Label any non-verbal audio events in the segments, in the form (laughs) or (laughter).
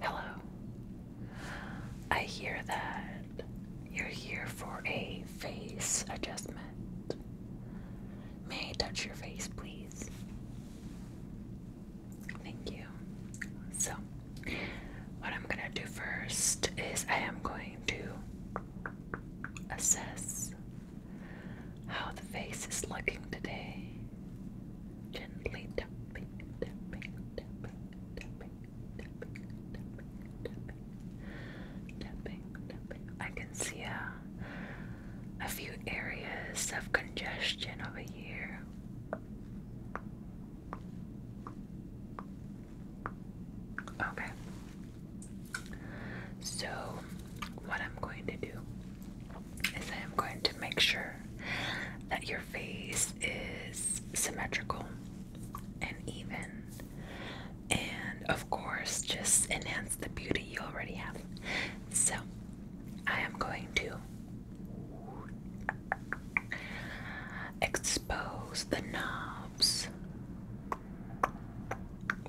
Hello. I hear that you're here for a face adjustment. May I touch your face, please? Thank you. So, what I'm going to do first is I am going to assess how the face is looking today. Gently tapping, tapping, tapping, tapping, tapping, tapping, tapping, tapping, tapping. I can see a, a few areas of congestion over here. Okay. So, what I'm going to do is I am going to make sure that your face is symmetrical and even. And of course, just enhance the beauty you already have. So, I am going to expose the knobs,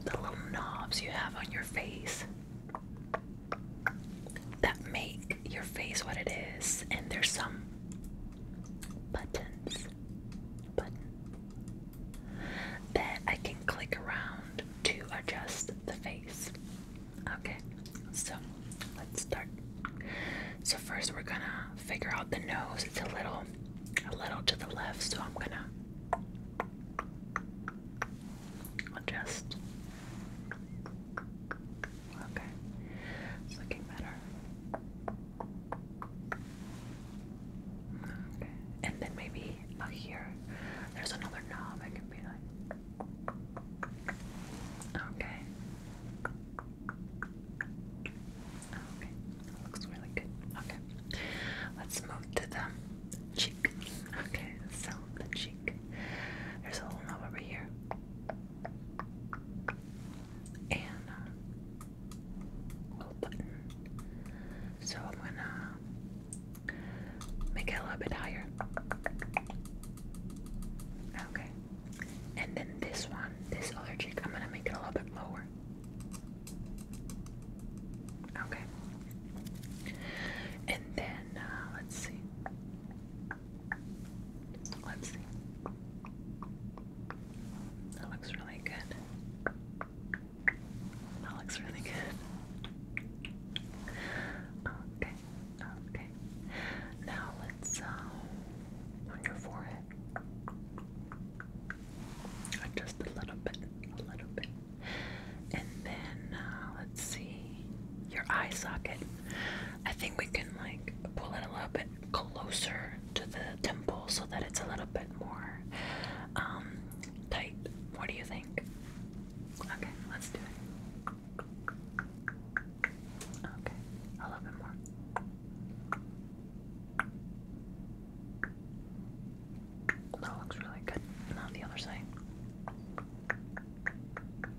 the little knobs you have on your face that make your face what it is, and there's some buttons button that I can click around to adjust the face. Okay, so let's start. So first we're gonna figure out the nose. It's a little a little to the left, so I'm gonna i okay. It's looking better. Okay, and then maybe up here, there's another knob. I can be like, okay, okay, looks really good. Okay, let's move to the cheek. Okay, so the cheek. There's a little knob over here. And uh, So I'm gonna make it a little bit higher. Okay. And then this one, this other cheek, I'm gonna make it a little bit lower. Okay. And then uh, let's see. Let's see. That looks really good. That looks really good. Okay, okay. Now let's um, on your forehead. Just a little bit, a little bit, and then uh, let's see your eye socket. I think we can like pull it a little bit closer to the temple so that it's a little bit more um, tight. What do you think? Okay, let's do it. Okay, a little bit more. That looks really good. Now the other side.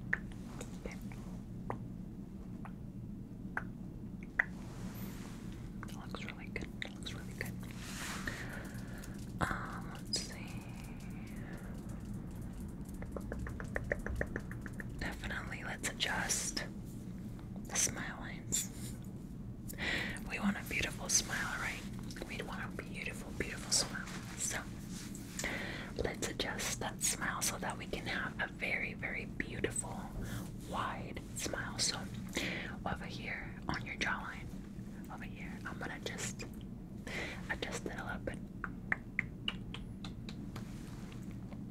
Okay. looks really good. looks really good. Um, let's see. Definitely let's adjust the smile lines. We want a beautiful smile, right? We want a beautiful, beautiful smile. So let's adjust that smile so that we can have a very, very beautiful, wide smile. So over here on your jawline, over here, I'm gonna just adjust it a little bit.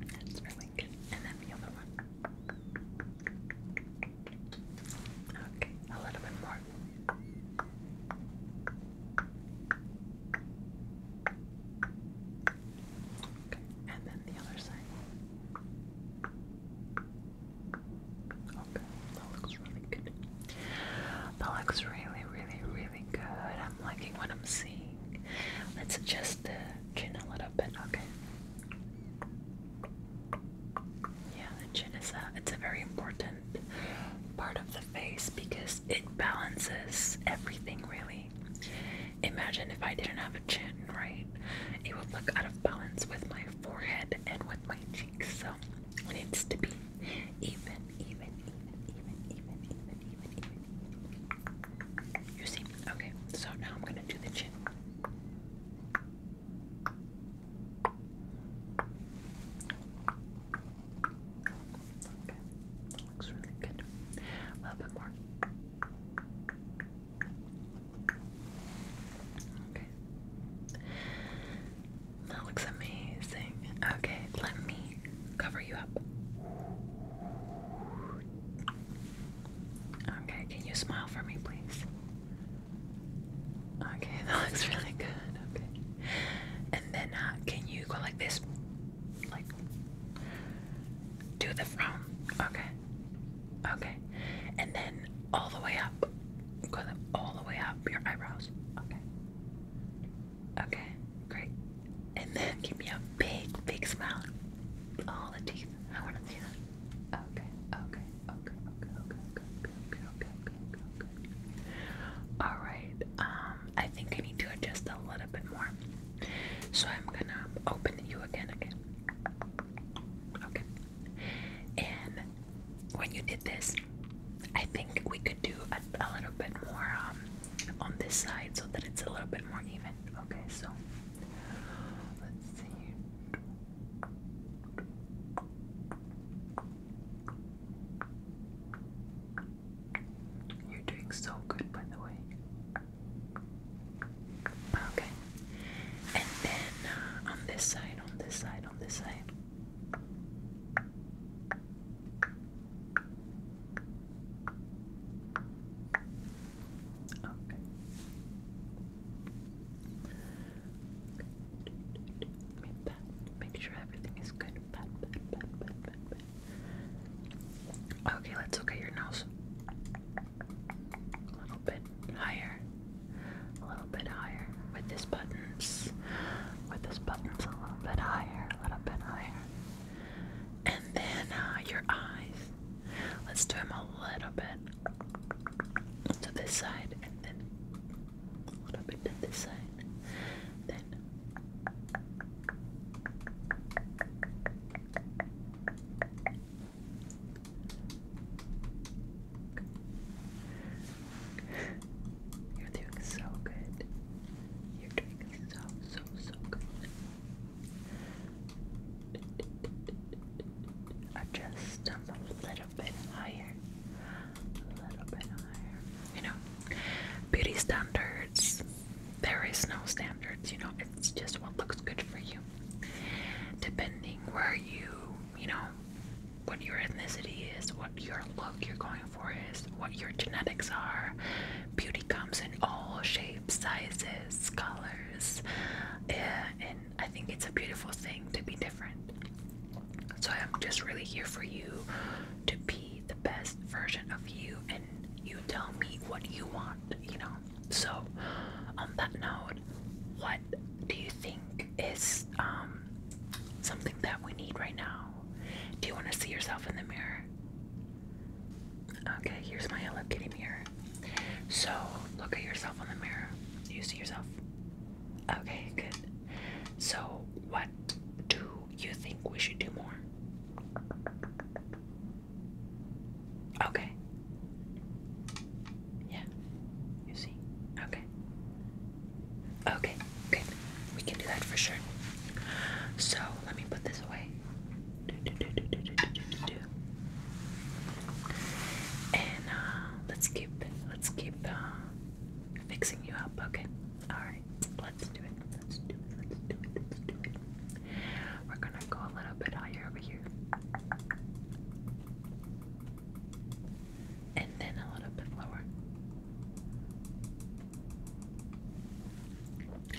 That's really good. And then the other one. Okay, a little bit more and then the other side. Okay, that looks really good. That looks really, really, really good. I'm liking what I'm seeing. Let's adjust the chin a little bit, okay? Yeah, the chin is a, uh, it's a very important part of the face because it balances everything really. Imagine if I didn't have a chin, right? It would look out of balance with my forehead and with my cheeks. So it needs to be even, even, even, even, even, even, even, even. You see? Okay, so now I'm gonna do the chin that looks really good. A little bit more. Okay. That looks amazing. Okay, let me cover you up. Okay, can you smile for me, please? Okay, (laughs) that looks really good. Okay. And then uh, can you go like this? Like do the front. Okay. Okay. And then all the way up. Go all the way up your eyebrows. Okay. Okay. Great. And then give me a big, big smile. All the teeth. I want to see that. Okay. Okay okay, okay, okay, okay, okay, okay, okay, okay. All right. Um, I think I need to adjust a little bit more. So I'm gonna open you again, again. Okay. And when you did this, I think we could do a, a little bit more um, on this side so that it's a little bit more even. Okay, so let's see. You're doing so good, by the way. Okay. And then uh, on this side, on this side, on this side. Okay. Okay, let's look your nose. A little bit higher. A little bit higher. With these buttons. With these buttons a little bit higher. A little bit higher. And then uh, your eyes. Let's do them a little bit to this side, and then a little bit to this side, then. You're doing so good. You're doing so, so, so good. Adjust them a little a little bit higher. You know, beauty standards. There is no standards, you know, it's just what looks good for you. Depending where you, you know, what your ethnicity is, what your look you're going for is, what your genetics are. Beauty comes in all shapes, sizes, colors, eh, and I think it's a beautiful thing to be different. So I'm just really here for you to be the best version of you and you tell me what you want, you know. So on that note, what do you think is um, something that we need right now? Do you want to see yourself in the mirror? Okay, here's my Hello Kitty mirror. So look at yourself on the mirror. Do you see yourself? Okay, good. So, what do you think we should do more? Okay. Yeah. You see? Okay. Okay, good. We can do that for sure. So, let me put this away. And uh, let's keep let's keep uh, fixing you up. Okay. All right. Let's do it. Let's do it. Let's do it. Let's do it. We're gonna go a little bit higher over here, and then a little bit lower,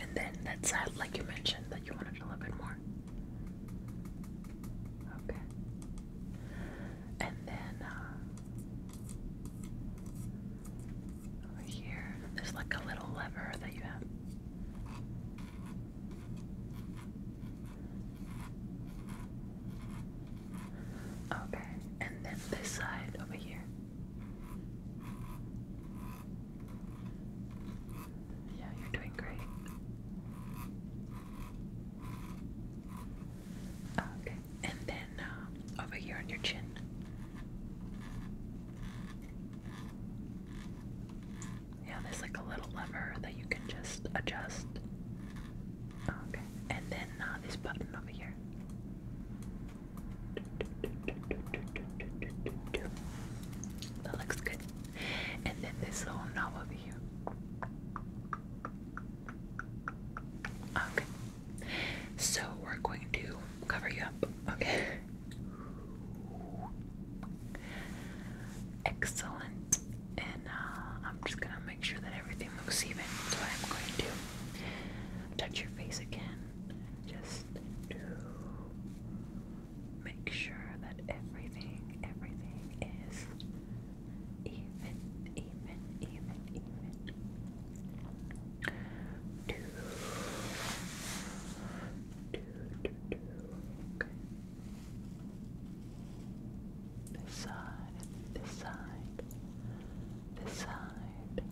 and then that's uh, like you mentioned that you wanted a little bit more. Okay. And then uh, over here, there's like a little lever that you have. Okay, and then this side over here. Yeah, you're doing great. Okay, and then uh, over here on your chin. Yeah, there's like a little lever that you can just adjust. Okay, and then uh, this button over here. That looks good. And then this little knob over Okay. So we're going to cover you up. Okay. Excellent. And uh, I'm just gonna make sure that everything looks even. So I'm going to touch your face again. Just do make sure that everything, everything is even, even, even, even. Do, do, do, do. Okay. This side, this side, this side.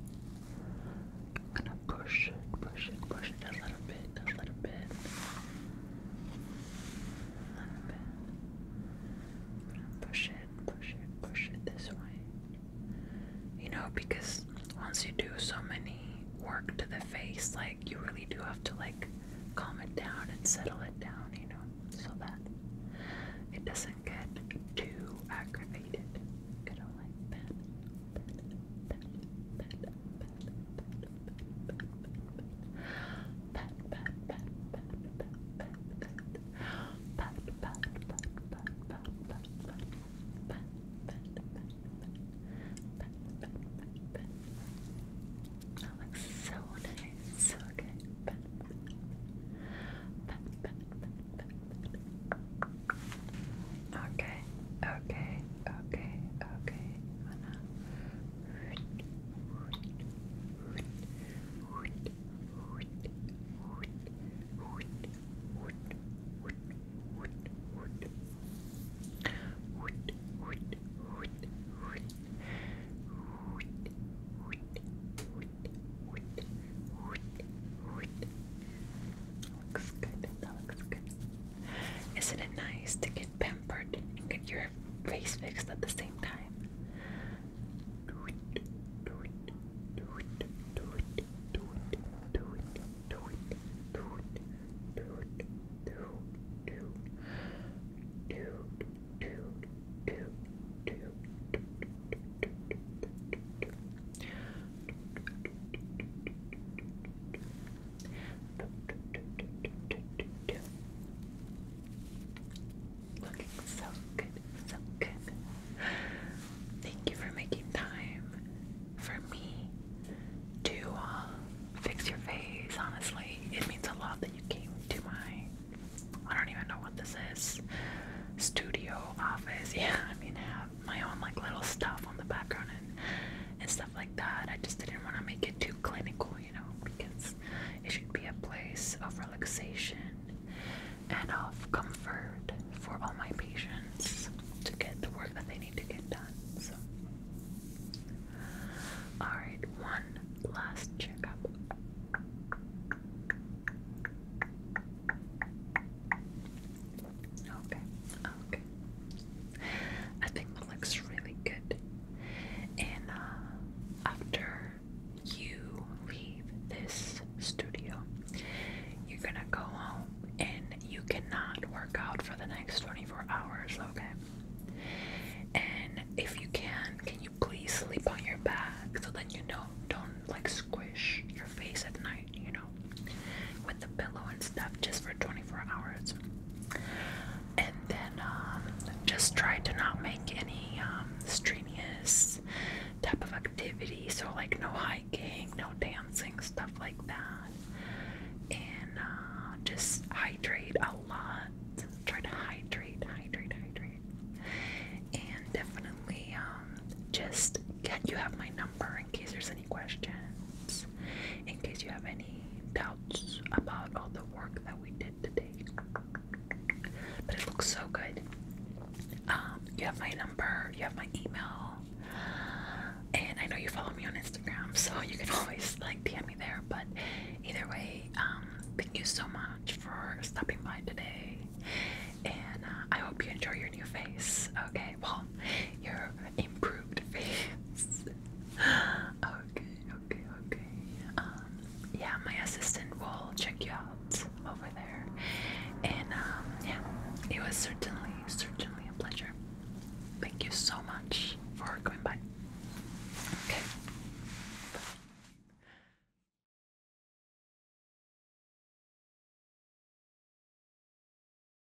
I'm gonna push it, push it, push it a little bit, a little bit up. I'm push it, push it, push it this way. You know, because once you do so many work to the face, like you really do have to like calm it down and settle it down, you know, so that it doesn't get too aggravated. Gonna like that, that, that, that, that looks so nice, so good. Okay, okay, okay, okay. That looks good. That looks good. Isn't it nice to get pampered and get your face fixed at the same time? Looking so good, so good. Thank you for making time for me to uh, fix your face. Honestly, it means a lot that you came to my, I don't even know what this is, studio office. (laughs) Yeah, I mean, I have my own like little stuff on the background and. stuff like that. I just didn't want to make it too clinical, you know, it should be a place of relaxation and of comfort for all my patients to get the work that they need to get done. So, alright, one last checkup. Okay, okay. I think that looks really good. And uh, after you leave this studio, you're gonna go home and you cannot work out for the next 24 hours, okay? And if you can, can you please sleep on your back so that you know don't like squish your face at night, you know, with the pillow and stuff just for 24 hours. And then um, just try to not make any um, strenuous type of activity. So, like, no hiking, no dancing, stuff like that. And uh, just hydrate a lot. Try to hydrate, hydrate, hydrate. And definitely um, just get, you have my number in case there's any questions, in case you have any doubts about all the work that we did today. But it looks so good. Um, you have my number, you have my email, and I know you follow me on Instagram, (laughs) so you can always like DM me there. But either way, um, thank you so much for stopping by today, and uh, I hope you enjoy your new face. Okay well, your improved face. (gasps) okay, okay, okay. Um, yeah, my assistant will check you out over there. And um, yeah, it was certainly, certainly a pleasure. Thank you so much for coming by. Okay. Bye.